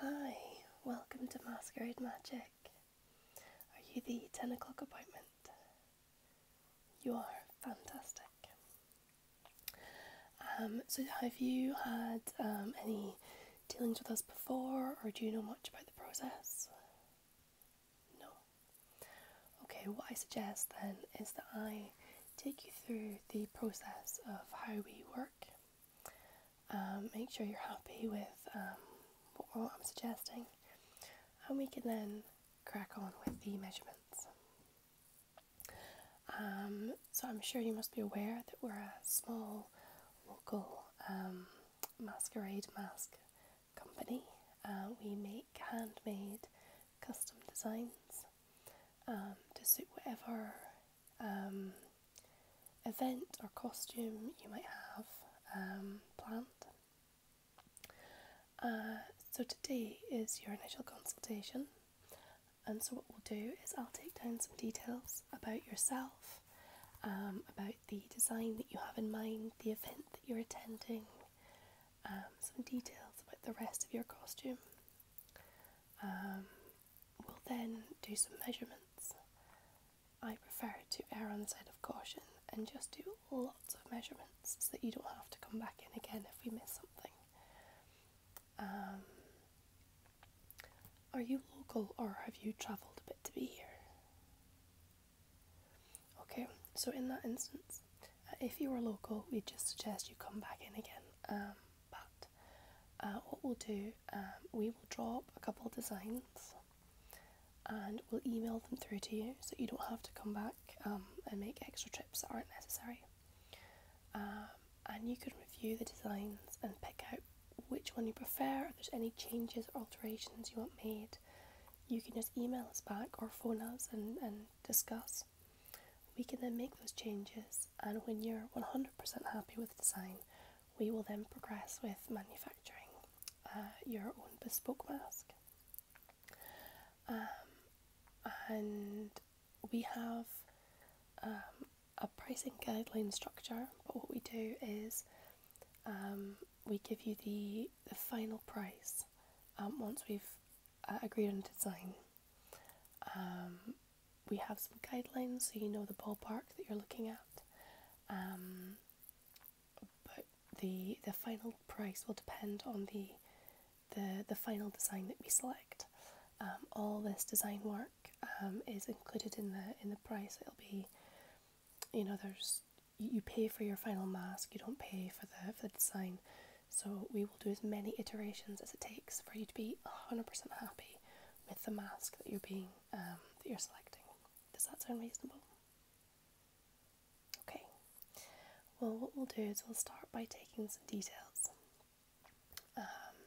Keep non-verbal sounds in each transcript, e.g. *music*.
Hi, welcome to Masquerade Magic. Are you the 10 o'clock appointment? You are fantastic. Um, so, have you had um, any dealings with us before, or do you know much about the process? No. Okay, what I suggest then is that I take you through the process of how we work um, make sure you're happy with um, what, I'm suggesting, and we can then crack on with the measurements. Um, so I'm sure you must be aware that we're a small local masquerade mask company. Uh, we make handmade custom designs to suit whatever um, event or costume you might have um, planned. Uh, so today is your initial consultation, and so what we'll do is I'll take down some details about yourself, um, about the design that you have in mind, the event that you're attending, um, some details about the rest of your costume, um, we'll then do some measurements. I prefer to err on the side of caution and just do lots of measurements so that you don't have to come back in again if we miss something. Um, are you local or have you travelled a bit to be here? Okay, so in that instance, uh, if you were local, we would just suggest you come back in again. Um, but uh, what we'll do, um, we will drop a couple of designs and we'll email them through to you so you don't have to come back um, and make extra trips that aren't necessary. Um, and you can review the designs and pick out which one you prefer, if there's any changes or alterations you want made. You can just email us back or phone us and, and discuss. We can then make those changes, and when you're 100% happy with design, we will then progress with manufacturing uh, your own bespoke mask. Um, and we have um, a pricing guideline structure, but what we do is um, we give you the, the final price once we've uh, agreed on design. Um, we have some guidelines so you know the ballpark that you're looking at. Um, but the the final price will depend on the the, the final design that we select. Um, all this design work is included in the in the price. It'll be you know there's you pay for your final mask, you don't pay for the, for the design. So we will do as many iterations as it takes for you to be 100% happy with the mask that you're being um, that you're selecting. Does that sound reasonable? Okay. Well, what we'll do is we'll start by taking some details, um,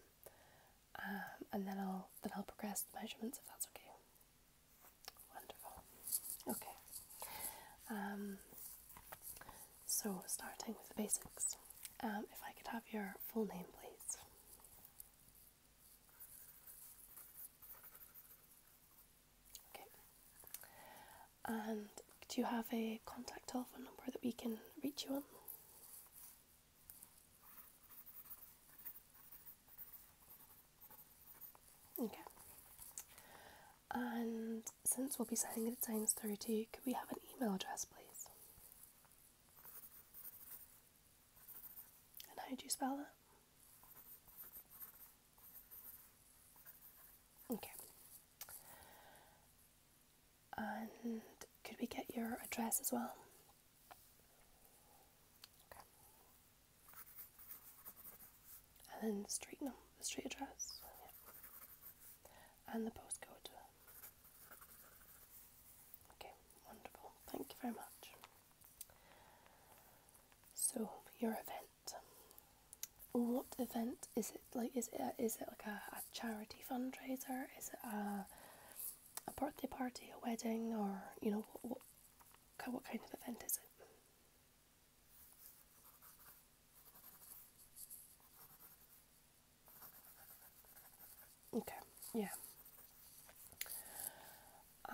um, and then I'll then I'll progress the measurements if that's okay. Wonderful. Okay. So, starting with the basics, um, if I could have your full name, please. And do you have a contact telephone number that we can reach you on? Okay. And since we'll be sending it at times through to you, could we have an email address, please? And how do you spell that? Okay. And could we get your address as well? Okay. And then street num the street address and the postcode. Okay, wonderful. Thank you very much. So, your event. What event is it like? Is it, it like a, a charity fundraiser? Is it a, a birthday party, a wedding, or you know, what, what kind of event is it? Okay, yeah.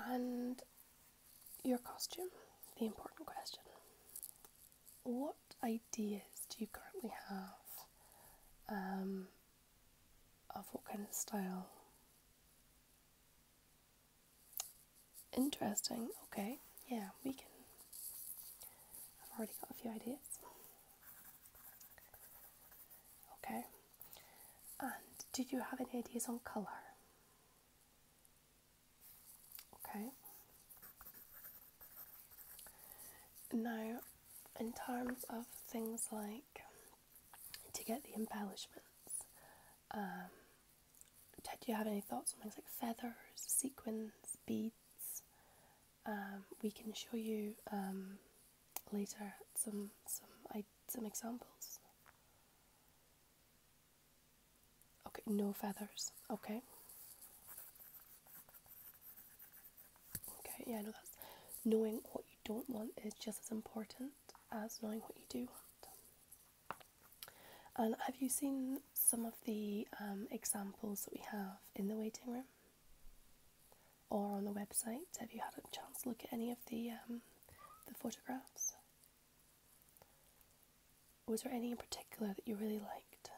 And your costume, the important question. What ideas do you currently have um, of what kind of style? Interesting, okay, yeah, we can. I've already got a few ideas. Okay. And did you have any ideas on colour? Okay. Now, in terms of things like to get the embellishments, um, did you have any thoughts on things like feathers, sequins, beads? Um, we can show you um, later some some some examples. Okay, no feathers. Okay. Okay, yeah, no, that's knowing what you don't want is just as important as knowing what you do want. And have you seen some of the um, examples that we have in the waiting room? or on the website. Have you had a chance to look at any of the um, the photographs? Was there any in particular that you really liked?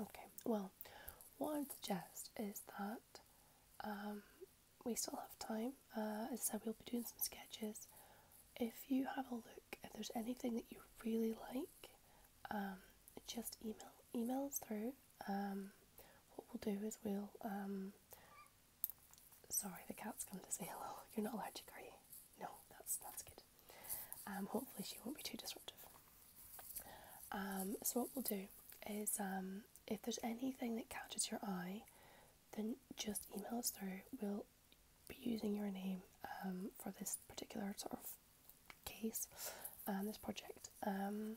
Okay, well, what I'd suggest is that um, we still have time. Uh, as I said, we'll be doing some sketches. If you have a look if there's anything that you really like, um, just email email us through. Um, what we'll do is we'll. Um, sorry, the cat's come to say hello. *laughs* You're not allergic, are you? No, that's that's good. hopefully she won't be too disruptive. so what we'll do is if there's anything that catches your eye, then just email us through. We'll be using your name for this particular sort of case and um, this project, um,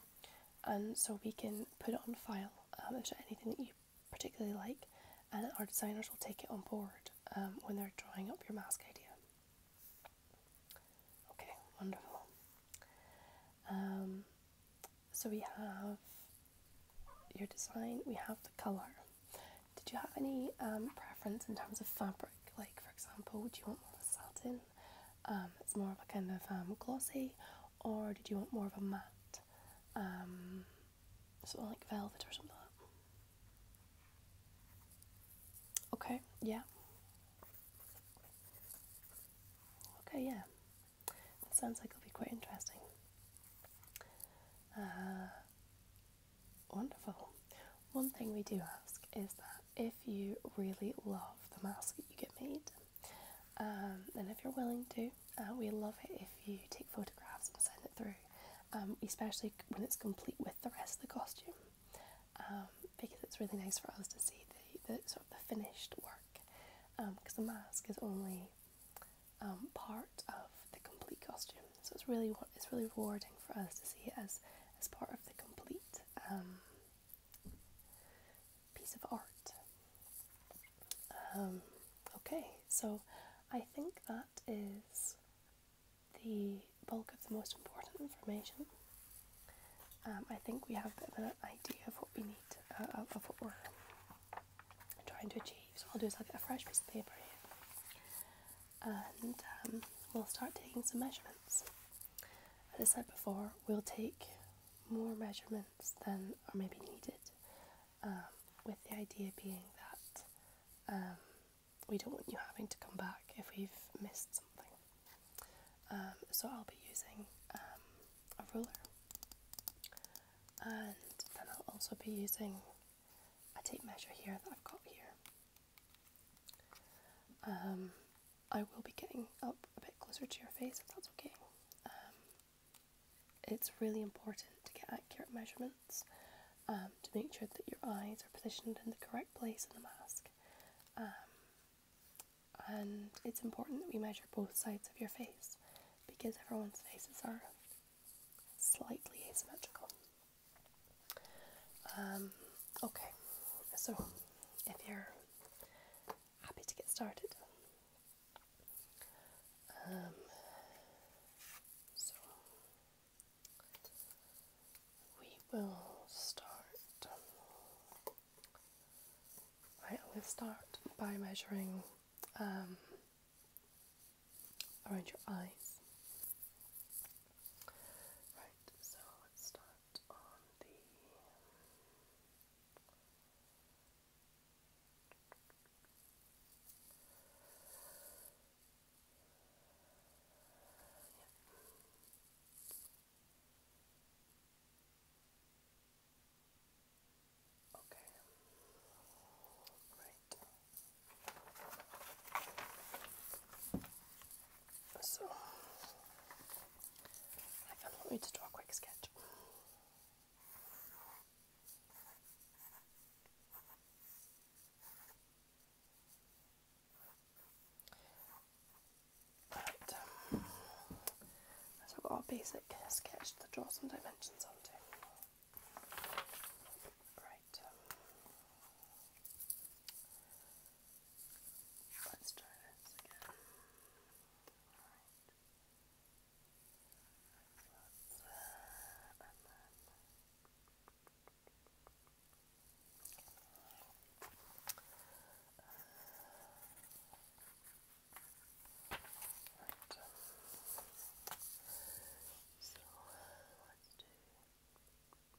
and so we can put it on file um, if there's anything that you particularly like, and our designers will take it on board um, when they're drawing up your mask idea. Okay, wonderful. Um, so we have your design, we have the colour. Did you have any um, preference in terms of fabric? Like, for example, do you want more of a satin? Um, it's more of a kind of um, glossy, or did you want more of a matte? Um, something like velvet or something like Okay, yeah. Okay, yeah. sounds like it'll be quite interesting. Uh, Wonderful. One thing we do ask is that if you really love the mask that you get made, um, and if you're willing to, uh, we love it if you take photographs and send it through, um, especially when it's complete with the rest of the costume, um, because it's really nice for us to see the sort of the finished work, because um, the mask is only part of the complete costume. So it's really it's really rewarding for us to see it as as part of the complete um, piece of art. Um, okay, so I think that is the bulk of the most important information. Um, I think we have a bit of an idea of what we need, uh, of what we're trying to achieve. So what I'll do is I'll get a fresh piece of paper here and um, we'll start taking some measurements. As I said before, we'll take more measurements than are maybe needed, um, with the idea being that um, we don't want you having to come back if we've missed something. so I'll be using a ruler, and then I'll also be using a tape measure here that I've got here. Um, I will be getting up a bit closer to your face if that's okay. Um, it's really important to get accurate measurements um, to make sure that your eyes are positioned in the correct place in the mask. and it's important that we measure both sides of your face because everyone's faces are slightly asymmetrical. Um, okay, so if you're happy to get started, um, we will start. Right, i start by measuring um, around your eyes. Right, so let's start on the Okay. Right. So, I feel like I need to draw a quick sketch. Right. so um, I've got a basic sketch to draw some dimensions onto. Right. Right. Let's try this again. All right. Let's, uh, and then. Uh, right. So uh, let's do. Let's do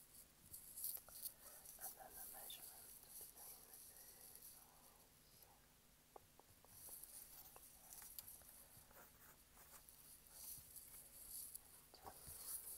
And then the measurement between the two eyes. Let's try Using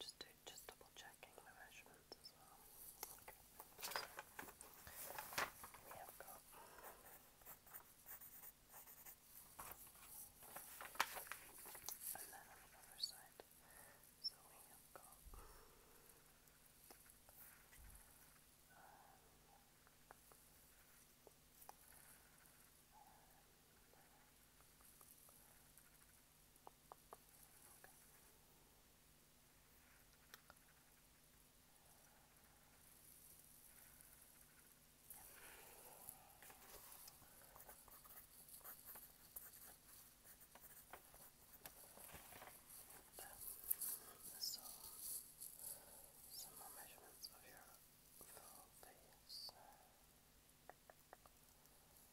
just do, just double checking the measurements as well. We have got and then on the other side, so we have got um, Okay. And so, some more measurements of your full face. Good.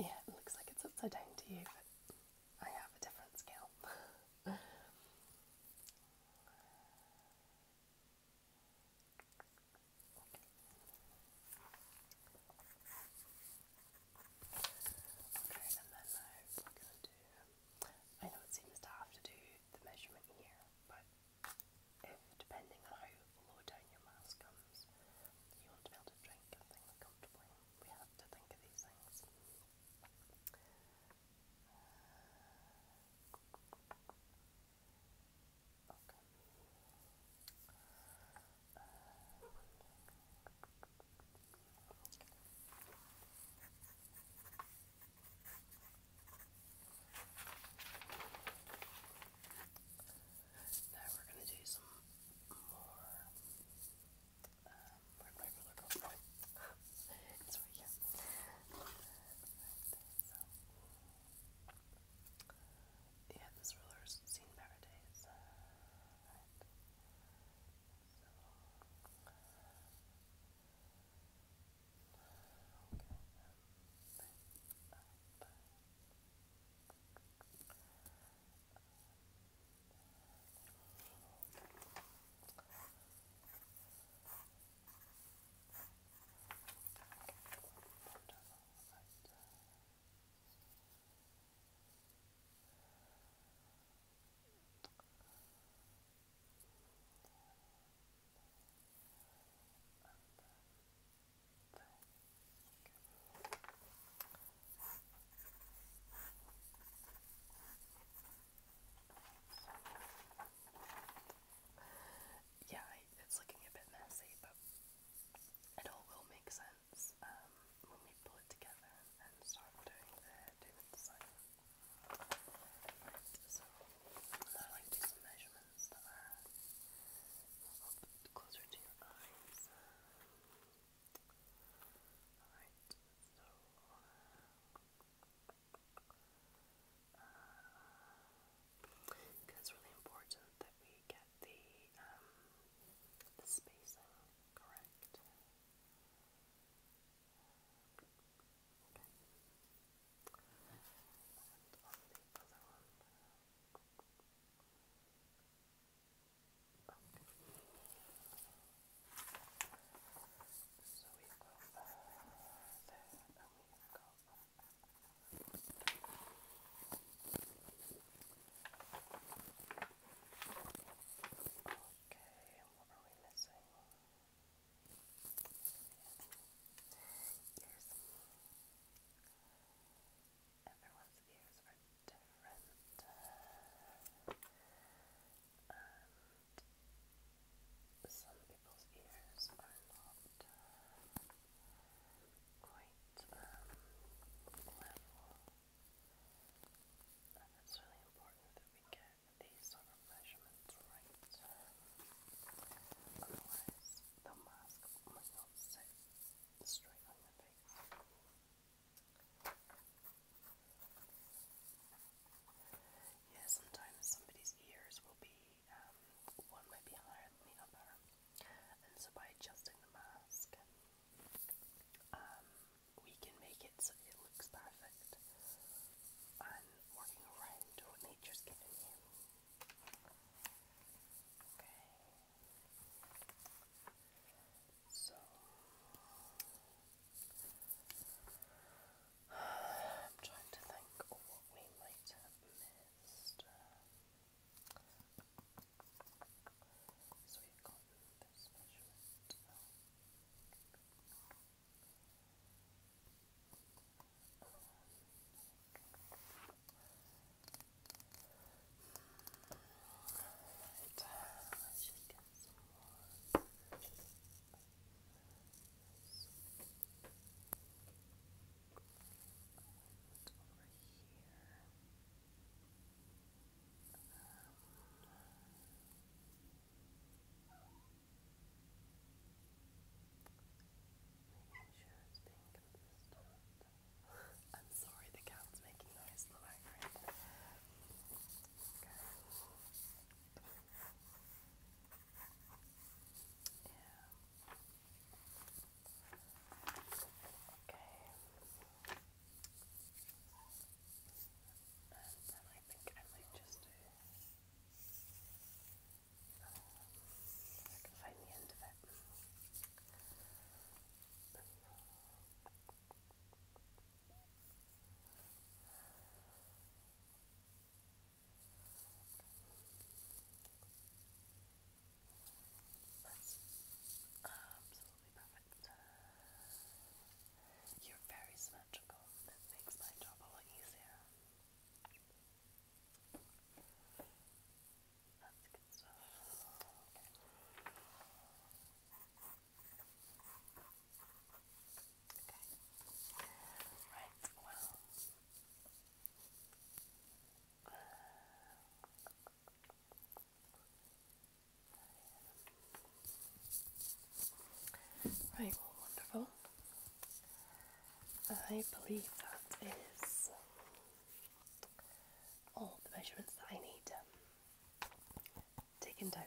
Yeah, it looks like it's upside down to you, but I have a different scale. Okay, and then now we going to do. I know it seems daft to do the measurement here, but if depending on how low down your mask comes, you want to be able to drink and think comfortably, we have to think of these things. Uh, okay. Now we're going to do some more. Um, where'd my ruler go? *laughs* it's yeah, this ruler's seen paradise. Uh, right. So, uh, okay. Um, but, uh, but, Okay, right. Yeah, it's looking a bit messy, but it all will make sense um, when we pull it together and start doing the doing the so now I like to do some measurements that are up closer to your eyes. Um, alright, so uh, uh really important that we get the, um, the spacing correct. Okay. So we've there, and we've Okay, what are we missing? Everyone's ears are different. some people's ears are not. Uh, quite um, And it's really important that we get these sort of measurements right. Otherwise, the mask might not sit straight on your face. Yeah, sometimes somebody's ears will be, um, one might be higher than the other. And so by adjusting the mask, um, we can make it so it looks perfect and working around nature's giving you. Okay. So *sighs* I'm trying to think what we might have missed. So we've got this measurement now. Right, let's just get some more. This. It's over here. Um, making sure it's being consistent. I'm sorry the cat's making noise in the Yeah. Okay. And then I think I might just do. Um, I can find the end of it. That's absolutely perfect. You're very symmetrical. That makes my job a lot easier. That's good stuff. Okay. Right, well, Right, wonderful. I believe that is all the measurements that I need um, taken down.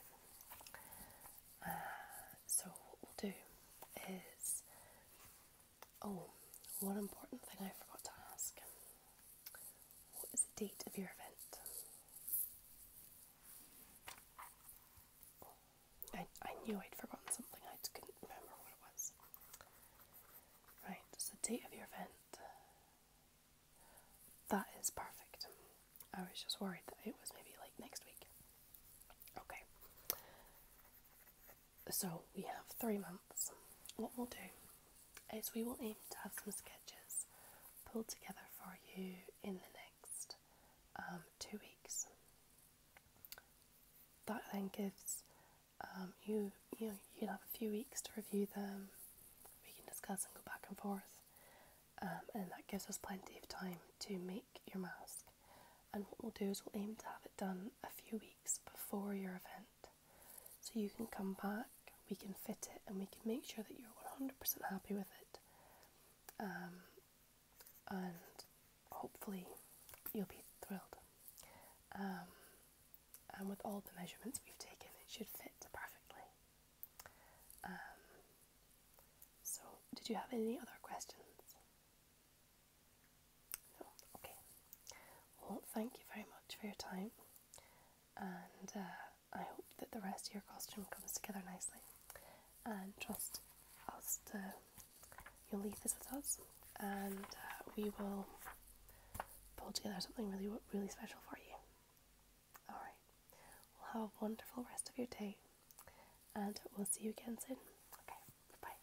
Uh, so, what we'll do is Oh, one important thing I forgot to ask. What is the date of your event? I, I knew I'd forgotten something, I couldn't remember what it was. Right, so the date of your event. That is perfect. I was just worried that it was maybe like next week. Okay. So we have three months. What we'll do is we will aim to have some sketches pulled together for you in the next um, two weeks. That then gives um, you, you you have a few weeks to review them. We can discuss and go back and forth. Um, and that gives us plenty of time to make your mask. And what we'll do is we'll aim to have it done a few weeks before your event so you can come back, we can fit it, and we can make sure that you're 100% happy with it. Um, and hopefully, you'll be thrilled. Um, and with all the measurements we've taken, it should fit perfectly. Um, so, did you have any other questions? okay. Well, thank you very much for your time, and uh, I hope that the rest of your costume comes together nicely. And trust us you'll leave this with us, and uh, we will pull together something really, really special for you. Alright, well, have a wonderful rest of your day, and we'll see you again soon. Okay, bye.